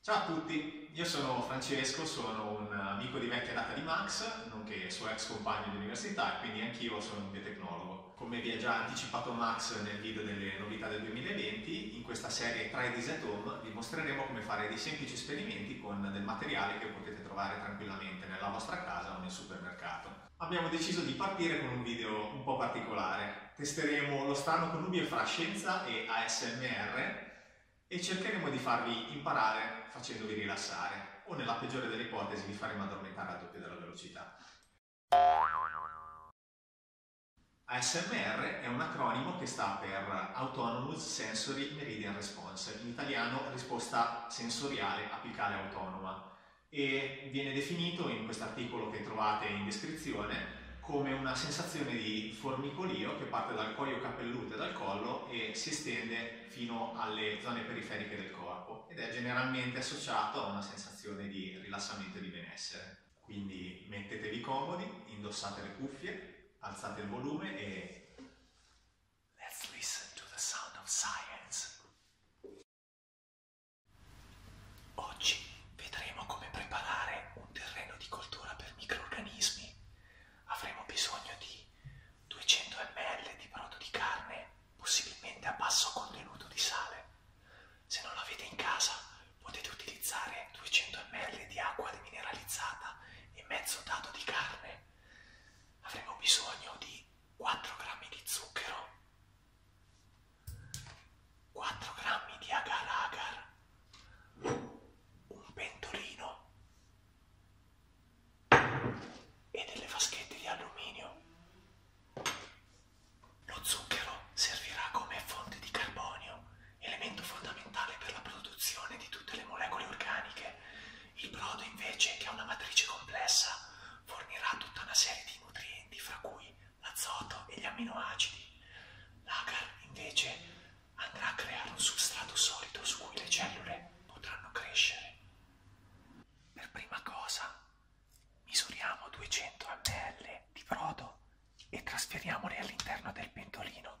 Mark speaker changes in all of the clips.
Speaker 1: Ciao a tutti, io sono Francesco, sono un amico di vecchia data di Max, nonché suo ex compagno di università e quindi anch'io sono un biotecnologo. Come vi ha già anticipato Max nel video delle novità del 2020, in questa serie Try This at Home vi mostreremo come fare dei semplici esperimenti con del materiale che potete trovare tranquillamente nella vostra casa o nel supermercato. Abbiamo deciso di partire con un video un po' particolare, testeremo lo strano connubio fra scienza e ASMR e cercheremo di farvi imparare facendovi rilassare o nella peggiore delle ipotesi vi faremo addormentare al doppio della velocità. ASMR è un acronimo che sta per Autonomous Sensory Meridian Response, in italiano risposta sensoriale apicale autonoma e viene definito in questo articolo che trovate in descrizione come una sensazione di formicolio che parte dal cuoio capelluto e dal collo e si estende fino alle zone periferiche del corpo ed è generalmente associato a una sensazione di rilassamento e di benessere. Quindi mettetevi comodi, indossate le cuffie, alzate il volume e...
Speaker 2: Let's listen to the sound of science! Oggi vedremo come preparare un terreno di coltura per microrganismi. Avremo bisogno di 200 ml di brodo di carne, possibilmente a basso contenuto di sale. Se non l'avete in casa potete utilizzare 200 ml di acqua demineralizzata e mezzo dado di carne. Avremo bisogno di 4 g di zucchero, 4 grammi di agar agar, un pentolino e delle vaschette di alluminio. Lo zucchero servirà come fonte di carbonio, elemento fondamentale per la produzione di tutte le molecole organiche. Il brodo invece, che ha una matrice complessa, fornirà tutta una serie di nutrienti nutrienti fra cui l'azoto e gli amminoacidi. L'agar invece andrà a creare un substrato solido su cui le cellule potranno crescere. Per prima cosa misuriamo 200 ml di brodo e trasferiamoli all'interno del pentolino.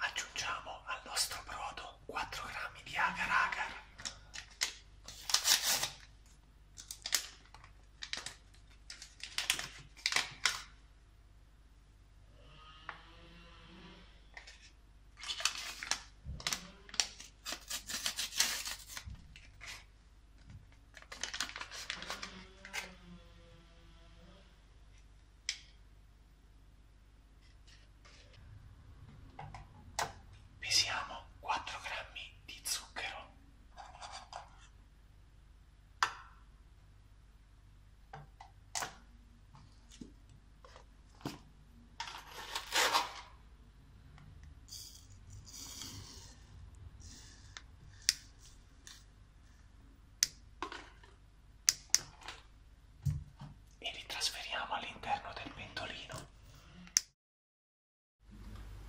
Speaker 2: Aggiungiamo al nostro brodo 4 grammi di agar agar. Pesiamo 4 grammi di zucchero e li trasferiamo all'interno del pentolino.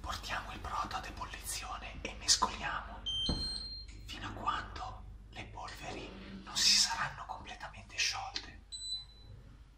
Speaker 2: Portiamo il brodo ad ebollizione e mescoliamo fino a quando le polveri non si saranno completamente sciolte.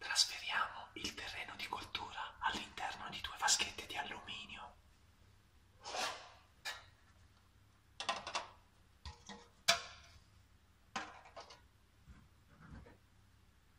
Speaker 2: Trasferiamo il terreno di coltura all'interno di due vaschette di alluminio.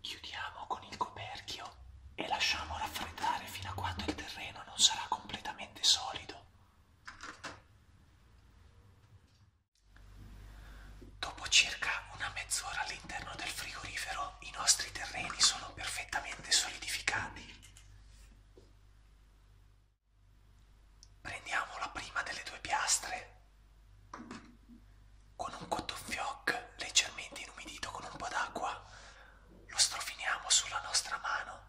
Speaker 2: Chiudiamo con il coperchio e lasciamo raffreddare fino a quando il terreno non sarà completamente solido. Dopo circa una mezz'ora all'interno del frigorifero i nostri terreni sono perfettamente solidificati. Prendiamo la prima delle due piastre con un cotton fioc leggermente inumidito con un po' d'acqua lo strofiniamo sulla nostra mano.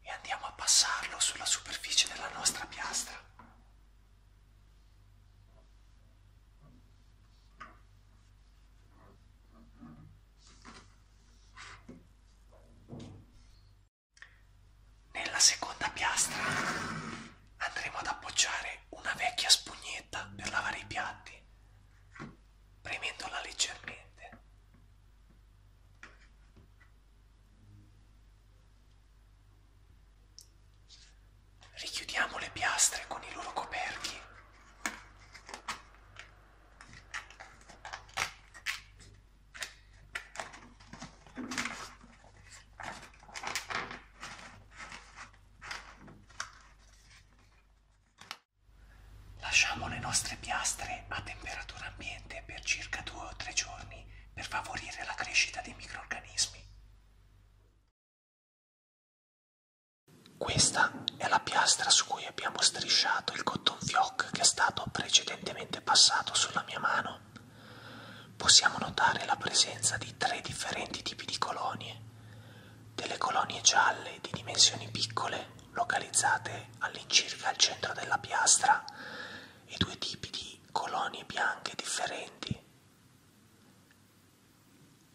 Speaker 2: E andiamo a passarlo sulla superficie della nostra piastra. Nella seconda piastra andremo ad appoggiare una vecchia spugnetta per lavare i piatti, premendola leggermente. Richiudiamo le piastre con i loro coperchi. Lasciamo le nostre piastre a temperatura ambiente per circa 2 o 3 giorni per favorire la crescita dei microrganismi. Questa è la piastra su cui abbiamo strisciato il cotton fioc che è stato precedentemente passato sulla mia mano. Possiamo notare la presenza di tre differenti tipi di colonie, delle colonie gialle di dimensioni piccole localizzate all'incirca al centro della piastra e due tipi di colonie bianche differenti.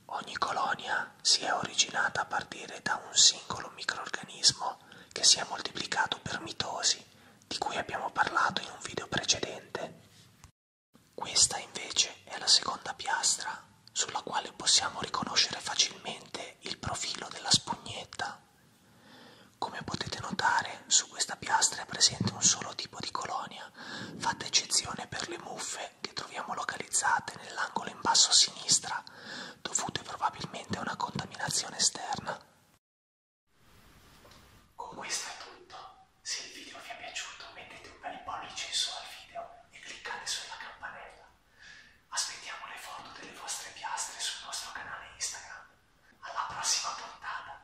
Speaker 2: Ogni colonia si è originata a partire da un singolo microorganismo che si è moltiplicato per mitosi, di cui abbiamo parlato in un video precedente. Questa invece è la seconda piastra sulla quale possiamo riconoscere facilmente il profilo della spugnetta. Come potete notare, su questa piastra è presente un solo tipo di colonia, fatta eccezione per le muffe cave che troviamo localizzate nell'angolo in basso a sinistra, dovute probabilmente a una contaminazione esterna. Con questo è tutto. Se il video vi è piaciuto mettete un bel pollice in su al video e cliccate sulla campanella. Aspettiamo le foto delle vostre piastre sul nostro canale Instagram. Alla prossima puntata!